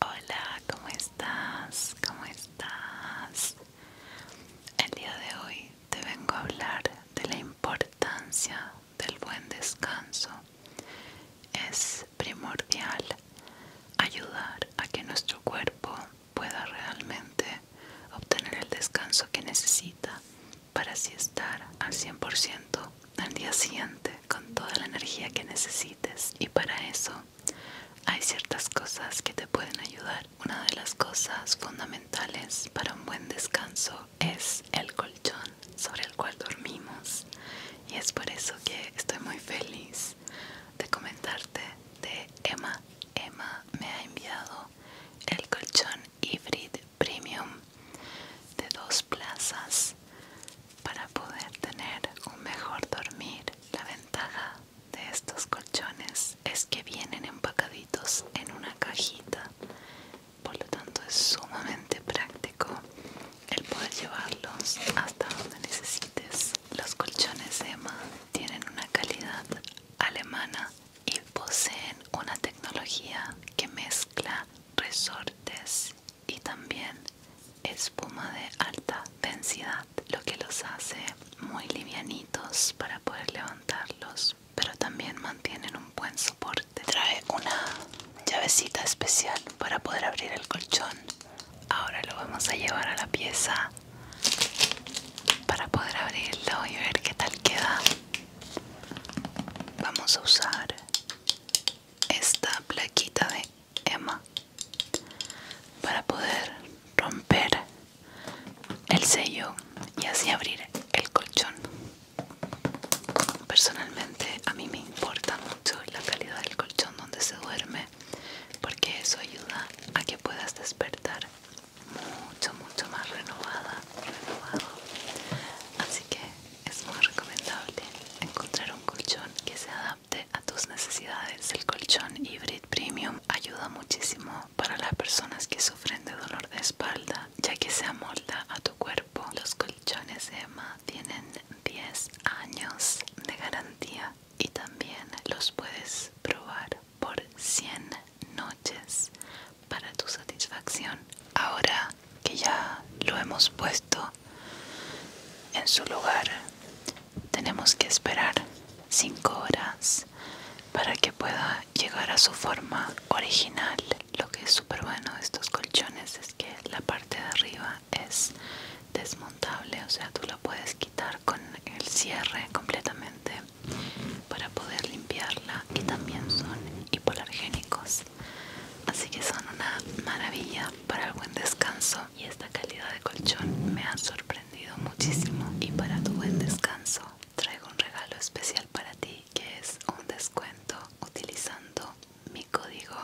Hola, ¿cómo estás? ¿Cómo estás? El día de hoy te vengo a hablar de la importancia del buen descanso. Es primordial ayudar a que nuestro cuerpo pueda realmente obtener el descanso que necesita para así estar al 100% al día siguiente con toda la energía que necesites y para eso hay ciertas cosas que te pueden ayudar una de las cosas fundamentales para un buen descanso es el colchón sobre el cual dormimos y es por eso que estoy muy feliz de comentarte de Emma Emma me ha enviado el colchón hybrid premium de dos plazas para poder tener un mejor dormir. La ventaja de estos colchones es que vienen empacaditos en una cajita, por lo tanto es sumamente práctico el poder llevarlos hasta donde necesites los colchones Emma tienen una calidad alemana y poseen una tecnología que mezcla resortes y también espuma de alta densidad, lo que los hace muy livianitos para poder levantarlos, pero también mantienen un buen soporte. Trae una llavecita especial para poder abrir el colchón Ahora lo vamos a llevar a la pieza para poder abrirlo y ver qué tal queda. Vamos a usar esta plaquita de Emma para poder romper el sello y así abrir el colchón. Personalmente a mí me importa mucho la calidad del colchón donde se duerme porque eso ayuda a que puedas despertar mucho mucho más renovada así que es muy recomendable encontrar un colchón que se adapte a tus necesidades el colchón hybrid premium ayuda muchísimo para las personas que sufren de dolor de espalda ya que se amolda a tu cuerpo los colchones EMA tienen 10 años de garantía y también los puedes probar por 100 noches para tu satisfacción. Ahora que ya lo hemos puesto en su lugar, tenemos que esperar 5 horas para que pueda llegar a su forma original. Lo que es súper bueno de estos colchones es que la parte de arriba es desmontable, o sea, tú lo puedes quitar con el cierre completamente para poder limpiarla y también son hipoalergénicos. Así que son una maravilla para el buen descanso y esta calidad de colchón me ha sorprendido muchísimo y para tu buen descanso traigo un regalo especial para ti que es un descuento utilizando mi código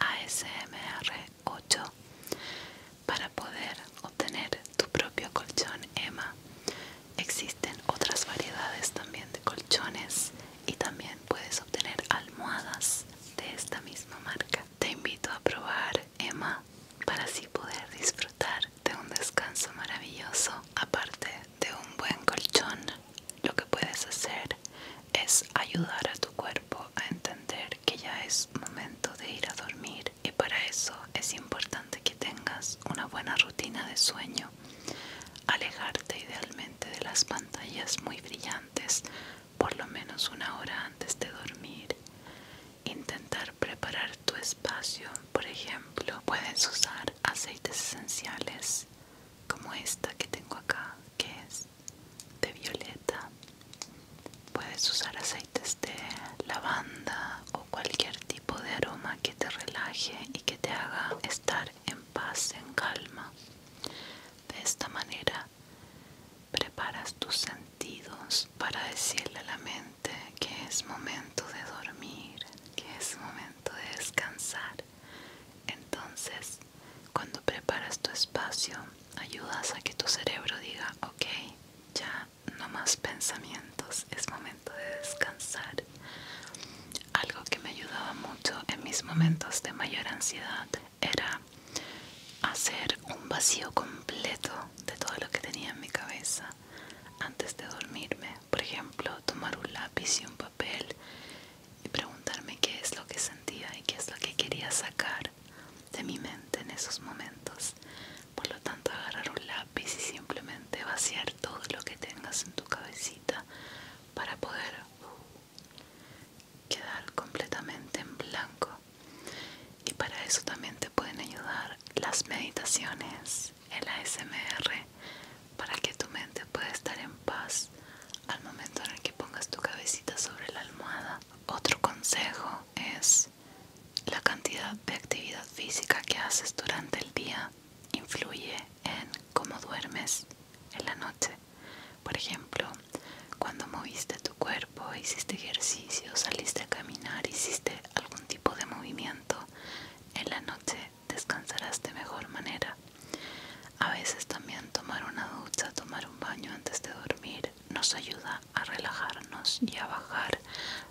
ASMR 8 para poder obtener tu propio colchón Emma existen otras variedades también de colchones y también puedes obtener almohadas de esta misma marca te invito a probar Emma para así poder disfrutar de un descanso maravilloso aparte de un buen colchón lo que puedes hacer es ayudar a tu cuerpo a entender que ya es momento de ir a dormir y para eso es importante que tengas una buena rutina de sueño, alejarte idealmente de las pantallas muy brillantes por lo menos una hora antes de dormir, intentar preparar tu espacio, por ejemplo, puedes usar aceites esenciales como esta que tengo acá, que es de violeta puedes usar aceites de lavanda o cualquier tipo de aroma que te relaje y que te haga estar en paz en calma de esta manera preparas tus sentidos para decirle a la mente que es momento de dormir que es momento de descansar entonces cuando preparas tu espacio, ayudas a que tu cerebro diga, ok, ya no más pensamientos, es momento de descansar. Algo que me ayudaba mucho en mis momentos de mayor ansiedad era hacer un vacío completo de todo lo que tenía en mi cabeza antes de dormirme. Por ejemplo, tomar un lápiz y un papel y preguntarme qué es lo que sentía y qué es lo que quería sacar de mi mente en esos momentos. Por lo tanto, agarrar un lápiz y simplemente vaciar todo lo que tengas en tu cabecita para poder quedar completamente en blanco. Y para eso también te pueden ayudar las meditaciones, el ASMR para que tu mente pueda estar en paz al momento en el que pongas tu cabecita sobre la almohada. Otro consejo es la cantidad de actividad física que haces durante el día influye en cómo duermes en la noche. Por ejemplo, cuando moviste tu cuerpo, hiciste ejercicio, saliste a caminar, hiciste algún tipo de movimiento, en la noche descansarás de mejor manera. A veces también tomar una ducha, tomar un baño antes de dormir nos ayuda a relajarnos y a bajar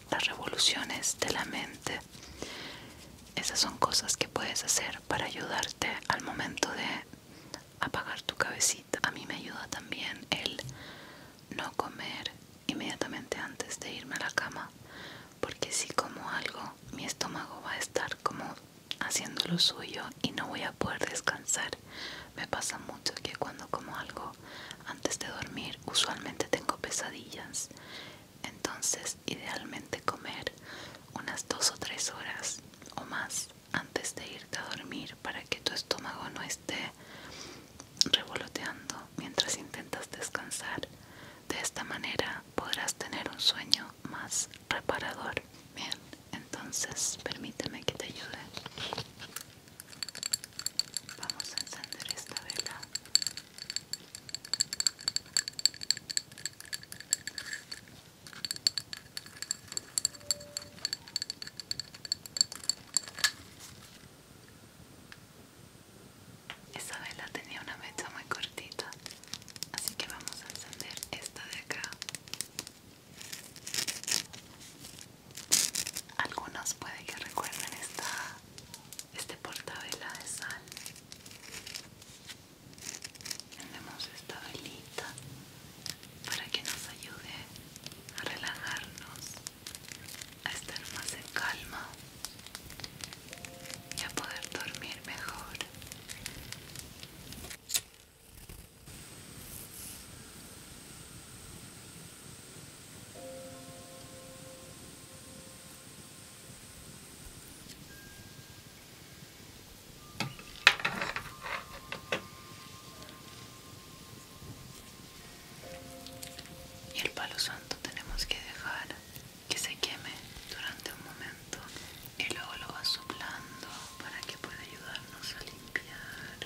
las revoluciones de la mente. Esas son cosas que puedes hacer para ayudarte al momento de apagar tu cabecita. A mí me ayuda también el no comer inmediatamente antes de irme a la cama porque si como algo mi estómago va a estar como haciendo lo suyo y no voy a poder descansar me pasa mucho que cuando como algo antes de dormir usualmente tengo pesadillas entonces idealmente comer unas dos o tres horas o más antes de irte a dormir para que tu estómago no esté revoloteando mientras intentas descansar de esta manera podrás tener un sueño más reparador. Bien, entonces permíteme que te ayude. Vamos a encender esta vela. Esta vela tenía una mecha muy cortita, así que vamos a encender esta de acá. Algunos puede que recuerden esta, este vela de sal. Tenemos esta velita para que nos ayude a relajarnos, a estar más en calma y a poder dormir mejor. Y el palo santo tenemos que dejar que se queme durante un momento y luego lo va soplando para que pueda ayudarnos a limpiar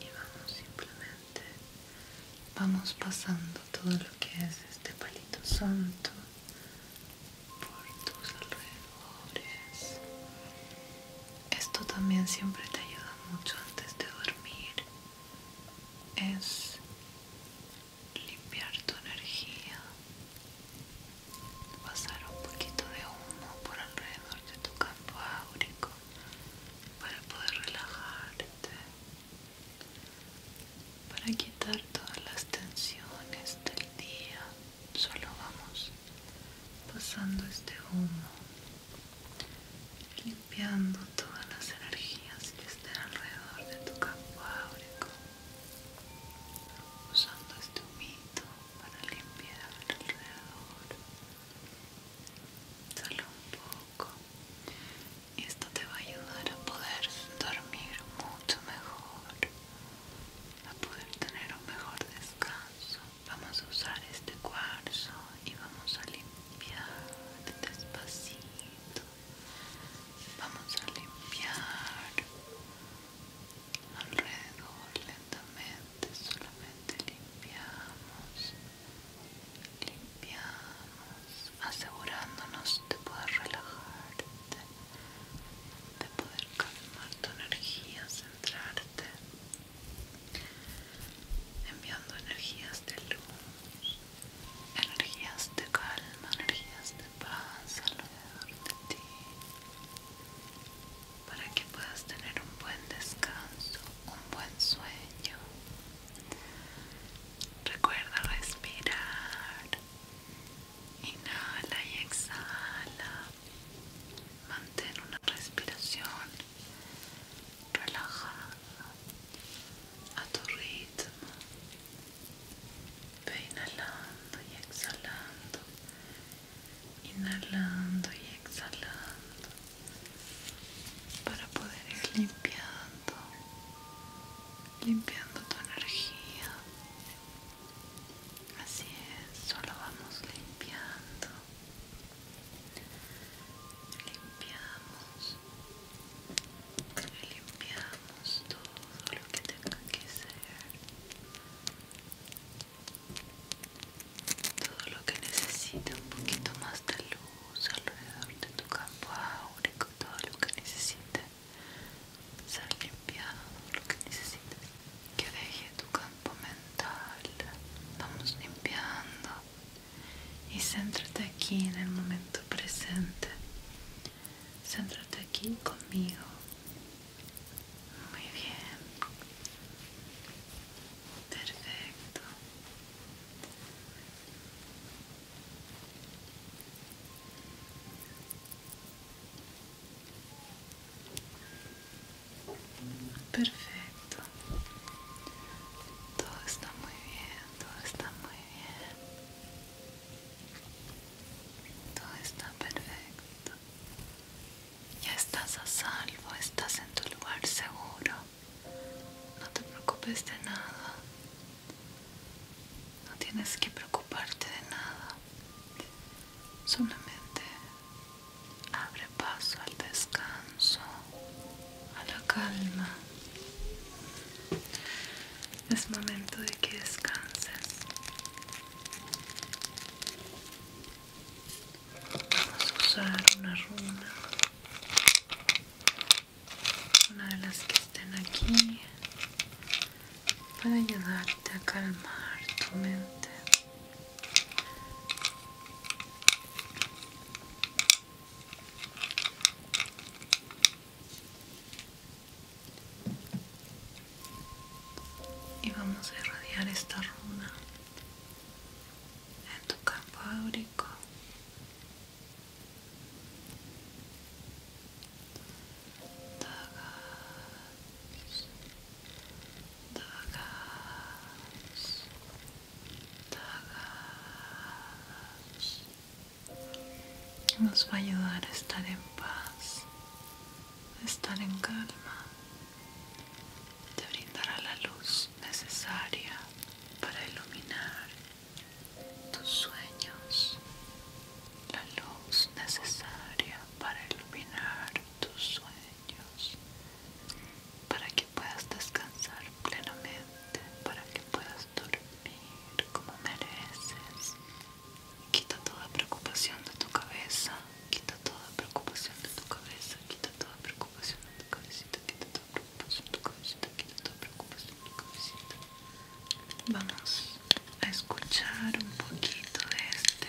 y vamos simplemente vamos pasando todo lo que es este palito santo por tus alrededores esto también siempre te ayuda mucho antes de dormir es limpiar tu energía, pasar un poquito de humo por alrededor de tu campo áurico para poder relajarte, para quitar todas las tensiones del día. Solo vamos pasando este humo limpiando todas las energías que estén alrededor de tu campo áurico usando este humito para limpiar alrededor solo un poco y esto te va a ayudar a poder dormir mucho mejor a poder tener un mejor descanso vamos a usar este cuarzo y vamos a limpiar despacito vamos a limpiar alrededor lentamente solamente limpiamos limpiamos asegurándonos de poder relajarte de poder calmar tu energía centrarte enviando energías de luz, energías de calma, energías de paz alrededor de ti, para que puedas tener un buen descanso, un buen sueño. Recuerda respirar, inhala y exhala, mantén una respiración relajada a tu ritmo ve inhalando y exhalando inhalando y exhalando para poder ir limpiando limpiando tu energía así es solo vamos limpiando limpiamos limpiamos todo lo que tenga que ser todo lo que necesita un poquito más de luz alrededor de tu campo áurico todo lo que necesite ser limpiado lo que necesite que deje tu campo mental vamos limpiando y céntrate aquí en el momento presente. Céntrate aquí conmigo. Muy bien. Perfecto. Perfecto. Todo está muy bien, todo está muy bien. Todo está perfecto. Ya estás a salvo, estás en tu lugar seguro. No te preocupes de nada. No tienes que preocuparte de nada. Solamente abre paso al descanso, a la calma. Es momento de que descanses. Vamos a usar una runa, una de las que estén aquí, para ayudarte a calmar tu mente y vamos a irradiar esta runa en tu campo áurico Dagas, dagas. Nos va a ayudar a estar en paz, a estar en calma. Te brindará la luz necesaria para iluminar tus sueños. La luz necesaria para iluminar tus sueños para que puedas descansar plenamente, para que puedas dormir como mereces. Quita toda preocupación de tu cabeza, quita toda preocupación de tu cabeza, quita toda preocupación de tu cabecita, quita toda preocupación de tu cabecita, quita toda preocupación de tu cabecita. Vamos a escuchar un poquito de este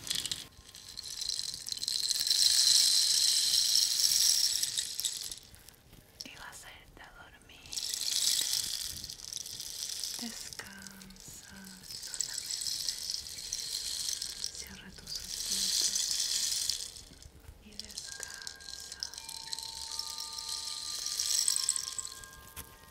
Y vas a irte a dormir. Descansa solamente. Cierra tus ojos y descansa.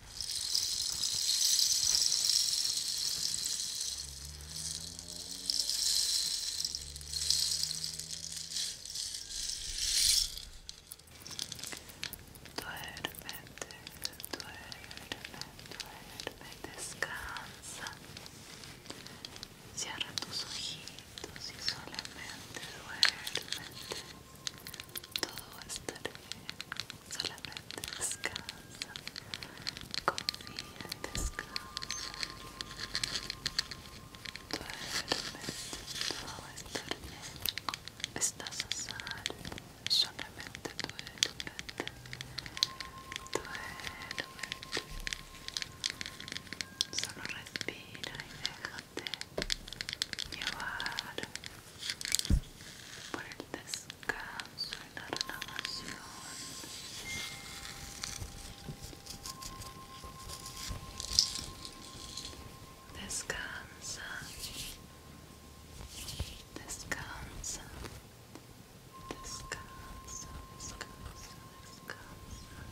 Duerme, duerme, duerme, descansa. Cierra tus ojitos y solamente duerme. todo va a Solamente descansa. Confía Todo va a Estás a Solamente duérmete. Duérmete. Solo respira y deja llevar por el descanso y la descansa descansa descansa descansa descansa